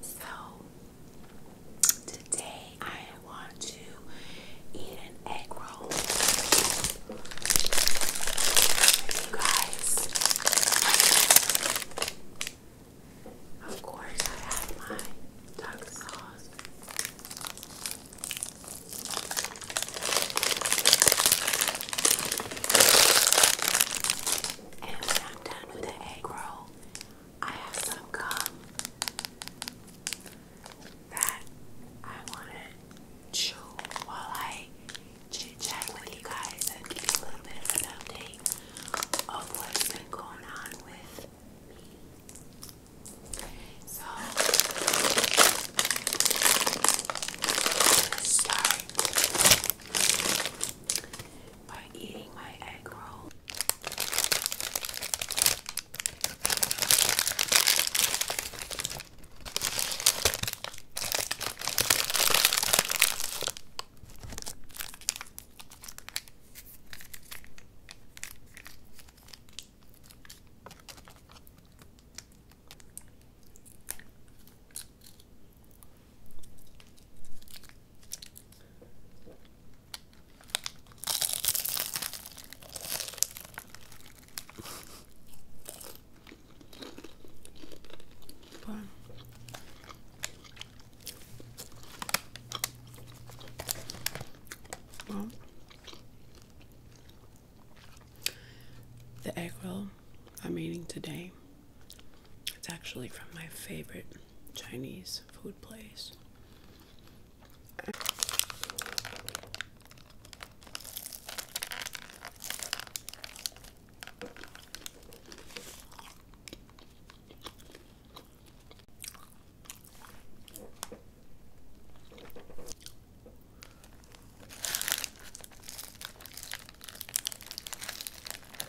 So, today I want to eat an egg roll. You guys, of course, I have my duck sauce. And when I'm done with the egg roll, I have some gum that I want to chew while I chit chat with you guys and give you a little bit of an update of what's been going on with me. So, let's start by eating my egg roll the egg roll I'm eating today it's actually from my favorite Chinese food place.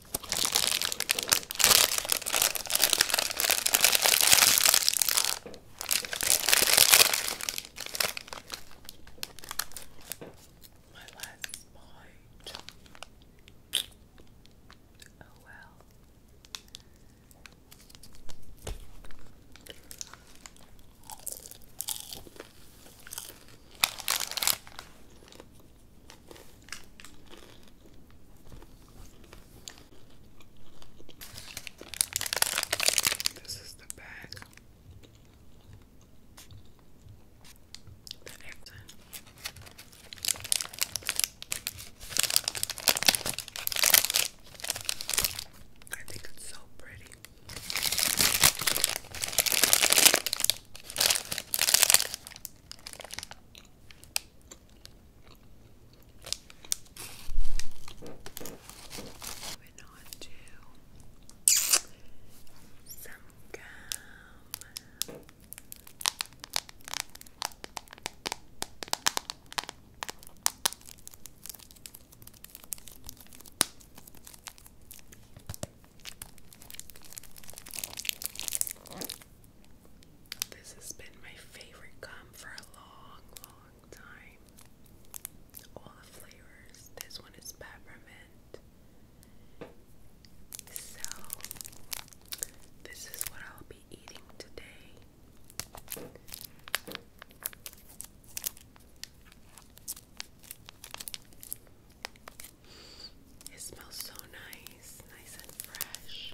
My last bite. Oh well. This is the bag that i I think it's so pretty. Moving on to some gum. This has been my favorite gum for a long, long time. All the flavors. This one is peppermint. So, this is what I'll be eating today. It smells so nice, nice and fresh.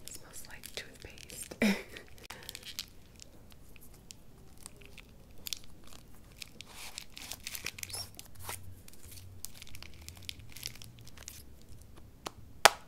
It smells like toothpaste. Oops.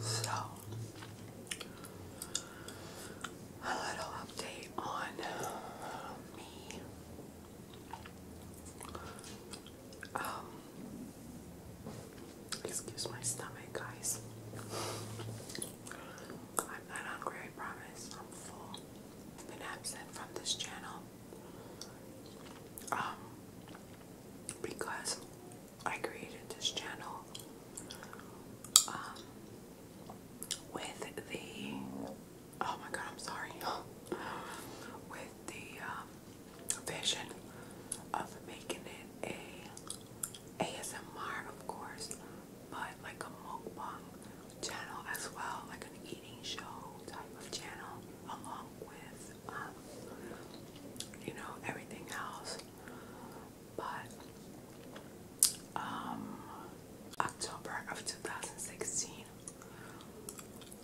So, a little update on me. Um, excuse my stomach, guys. I'm not hungry, I promise. I'm full. Been absent from this channel. Um, because I created this channel um, with the oh my god, I'm sorry. with the um, vision of making it a ASMR, of course, but like a mukbang channel as well, like an eating show type of channel, along with um, you know everything else. But um, October of 2016,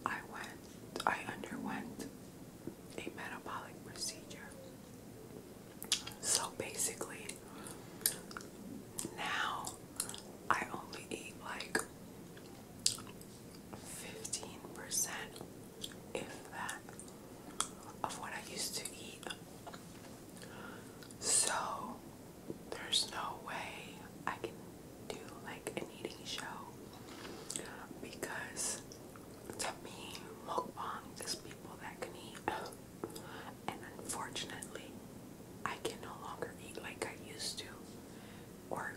I went, I underwent a metabolic procedure. So basically, now I only eat like 15%, if that, of what I used to eat. So there's no way I can do like an eating show because to me mukbang is people that can eat and unfortunately I can no longer eat like I used to or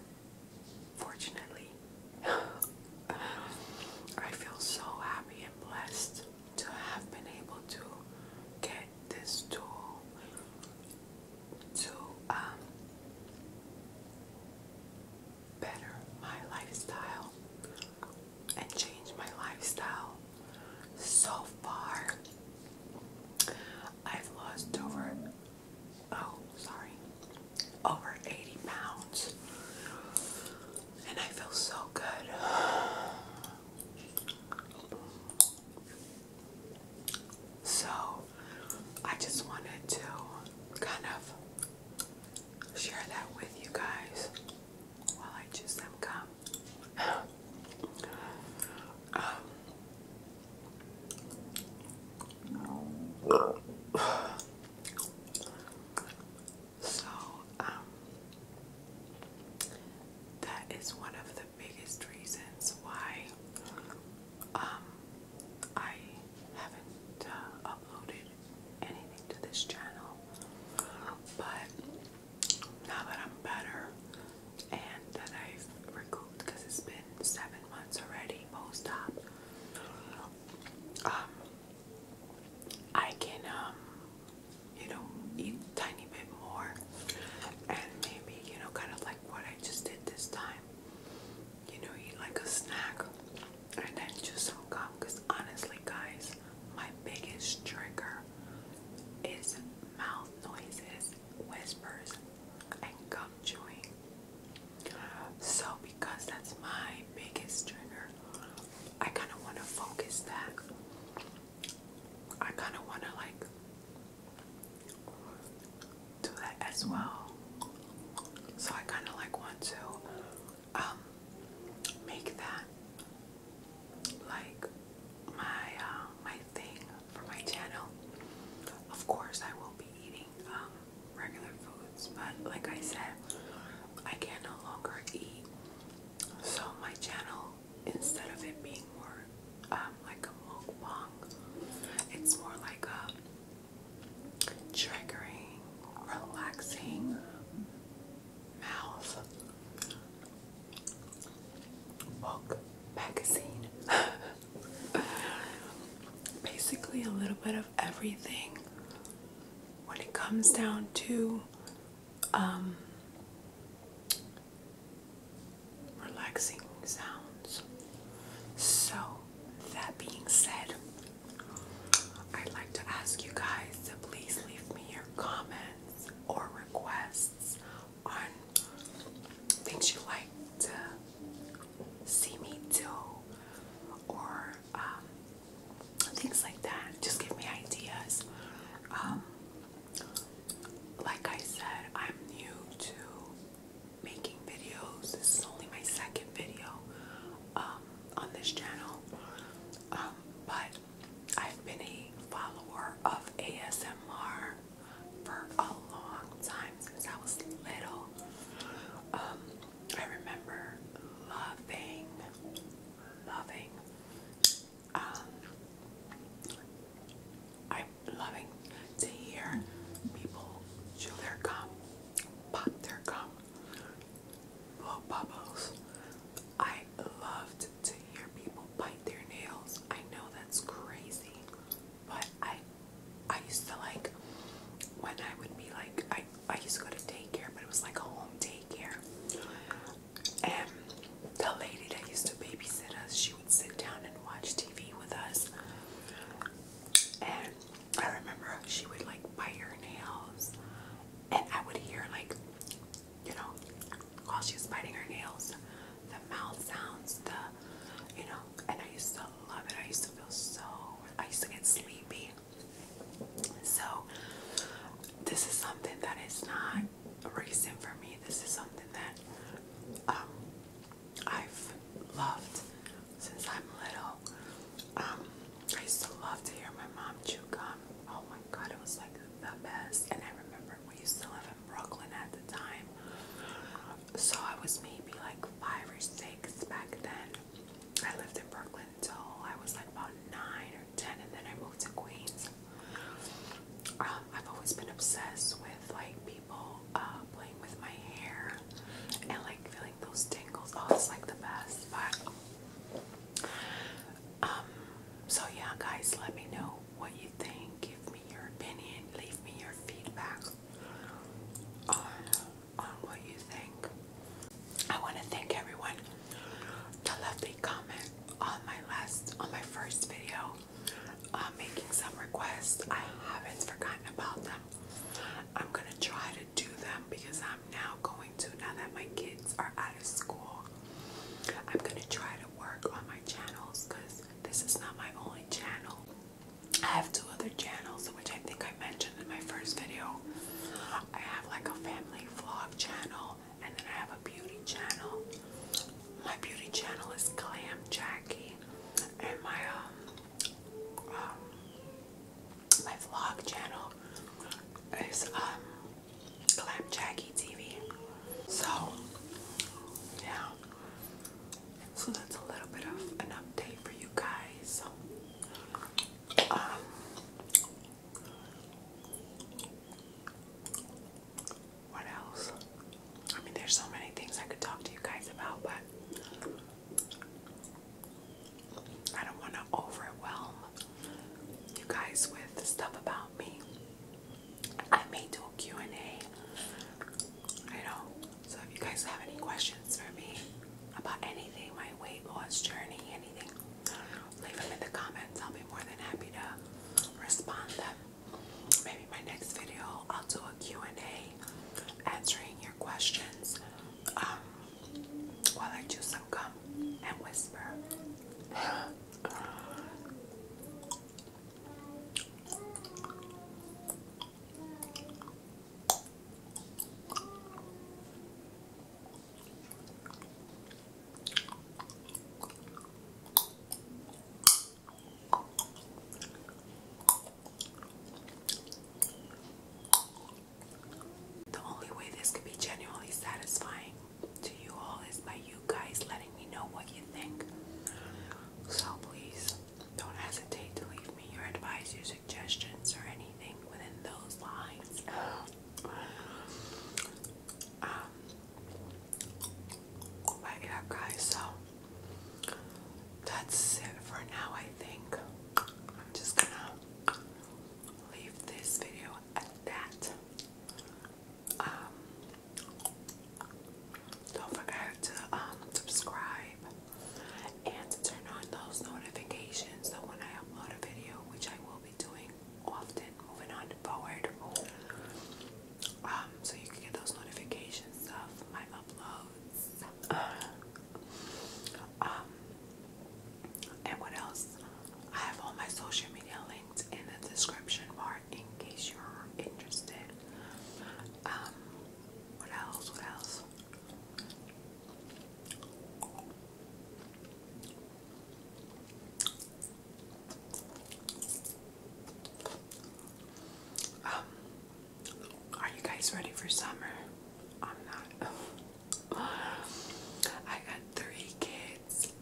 fortunately I feel so happy and blessed to have been able to get this tool to um, better my lifestyle and change my lifestyle. So far, I've lost over, oh, sorry, over 80 pounds. And I feel so good. So, I just wanted to kind of share that with you guys while I choose them come. so, um, that is one of the biggest reasons why um, I haven't uh, uploaded anything to this channel, but now that I'm better and that I've recouped it's been seven months already post-op, um, I can, um, you know, eat tiny bit more and maybe, you know, kind of like what I just did this time you know, eat like a snack and then just hook up. Because honestly, guys, my biggest trigger is mouth noises, whispers, and gum chewing. So, because that's my biggest trigger, I kind of want to focus that. I kind of want to like do that as well. So I kind of like want to um, make that like my uh, my thing for my channel. Of course, I will be eating um, regular foods, but like I said, I can no longer eat. So my channel, instead of it being more um, like a mukbang, it's more like a triggering, relaxing mouth book magazine. Basically, a little bit of everything when it comes down to um, relaxing sounds. So, that being said, I'd like to ask you guys to please leave me your comments or requests on things you like to see me do or um, things like that. Just give me ideas. Um, like I said, I'm new to making videos. This is only my second video um, on this channel, um, but I've been a follower of ASMR for a long time since I was little. Um, I remember loving, loving um, I'm loving to hear people chew their gum, pop their gum, blow bubbles. I loved to hear people bite their nails. I know that's crazy, but I I used to like when I would be like I I used to go to daycare, but it was like home daycare. And the lady that used to babysit us, she would sit down and watch TV with us. And I remember she would like bite her nails, and I would hear like, you know, while she was biting her nails, the mouth sounds, the, you know, and I used to love it. I used to feel so, I used to get sleepy. So, this is something that is not recent for me. This is something that um, I've loved since I'm little. Um, I used to love to hear my mom chew gum. Oh my god, it was like the best. And I remember we used to live in Brooklyn at the time. So I was maybe like five or six back then. I lived in Brooklyn until I was like about nine or ten, and then I moved to Queens. Um, I've always been obsessed with like people people uh, playing with my hair and like feeling those tingles. Oh, it's like the best. But um, so yeah, guys, let me know what you think. Give me your opinion. Leave me your feedback on on what you think. I want to thank everyone that left a comment on my last on my first video. I'm uh, making some requests. I haven't forgotten about them. I'm gonna try to do them because I'm now going to, now that my kids are out of school, I'm gonna try to work on my channels because this is not my only channel. I have two other channels, which I think I mentioned in my first video. I have like a family vlog channel, and then I have a beauty channel my beauty channel is Clam Jackie, and my um, um, my vlog channel is um Glam Jackie TV. So yeah, so that's a little bit of an update for you guys. Um, what else? I mean, there's so many things I could talk to you guys about, but I don't want to overwhelm you guys with stuff about me. I may do a Q&A, know, so if you guys have any questions for me about anything, my weight loss journey, anything, leave them in the comments. I'll be more than happy to respond them maybe my next video I'll do a Q&A answering your questions um, while I do some gum and whisper. The only way this could be genuinely satisfying to you all is by you guys letting me know what you think. So please don't hesitate to leave me your advice, your suggestions, or anything within those lines. Um, right guys. So that's it for now, I think. I'm just gonna leave this video at that. Um, don't forget to um, subscribe and turn on those notifications so when I upload a video, which I will be doing often moving on forward, um, so you can get those notifications of my uploads. um, and what else? I have all my social media linked in the description bar in case you're interested. Um, what else? What else? Um, are you guys ready for summer? I'm not. I got three kids,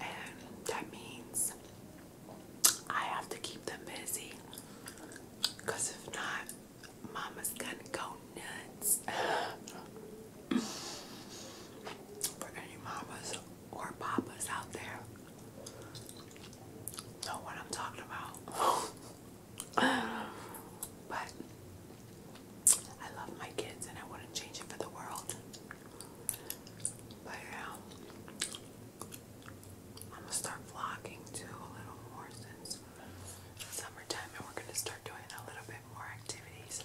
and that means I have to keep them busy. Because if not, mama's gonna go nuts. For any mamas or papas out there, know what I'm talking about. but I love my kids and I wouldn't change it for the world. But yeah, um, I'm gonna start vlogging too a little more since summertime and we're gonna start doing a little bit more activities.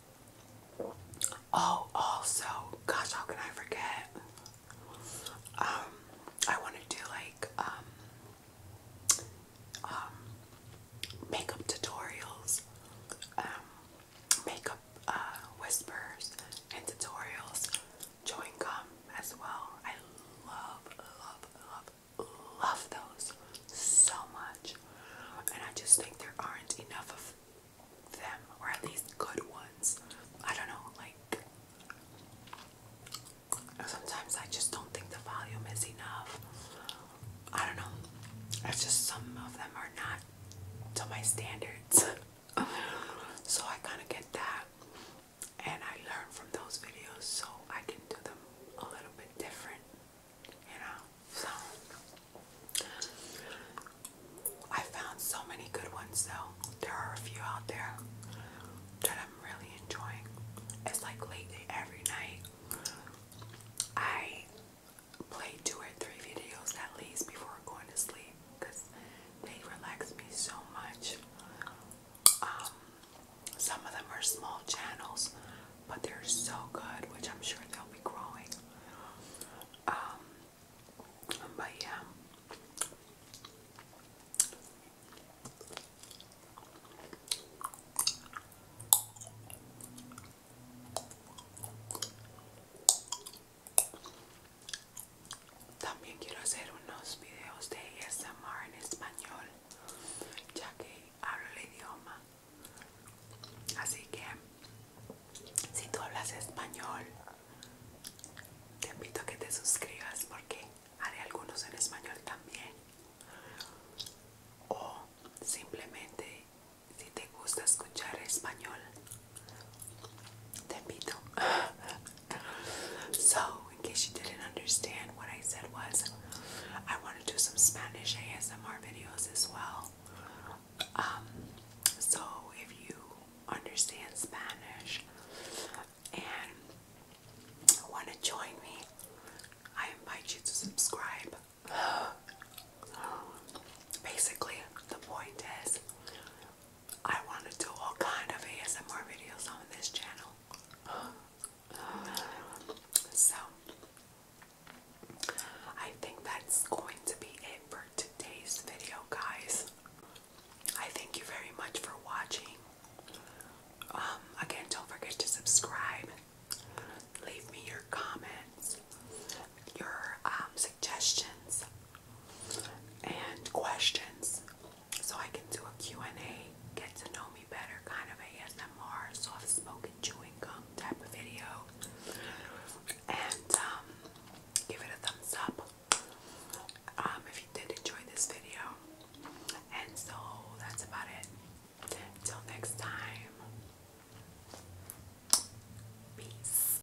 Oh, also, gosh, how can I forget? Um, I want to do like um, um, makeup tutorials, makeup uh, whispers and tutorials, Join them as well. I love, love, love, love those so much, and I just think there aren't enough of them, or at least good ones. I don't know, like sometimes I just don't think the volume is enough. I don't know. It's just some of them are not to my standards. so I kind of get that. And I learn from those videos so I can do them a little bit different. You know? So I found so many good ones though. There are a few out there that I'm really enjoying. It's like lately every night I play two or three videos at least before going to sleep because they relax me so much. Um, some of them are small channels, but they're so good, which I'm sure they'll be growing. Um, Vaya. También quiero hacer unos videos de ASMR en español, ya que hablo el idioma Así que si tú hablas español, te invito a que te suscribas porque haré algunos en español también. O simplemente si te gusta escuchar español, te pido. so, in case you didn't understand, what I said was I want to do some Spanish ASMR videos as well. Um, so if you understand Spanish and want to join me, I invite you to subscribe. Basically, the point is, I want to do all kind of ASMR videos on this channel. So, I think that's going to be it for today's video, guys. I thank you very much for watching. Um, again, don't forget to subscribe. Leave me your comments, your um, suggestions, and questions, so I can do a Q&A, get to know me better kind of ASMR, soft spoken chewing gum type of video and um, give it a thumbs up um, if you did enjoy this video. And so that's about it. Till next time, peace.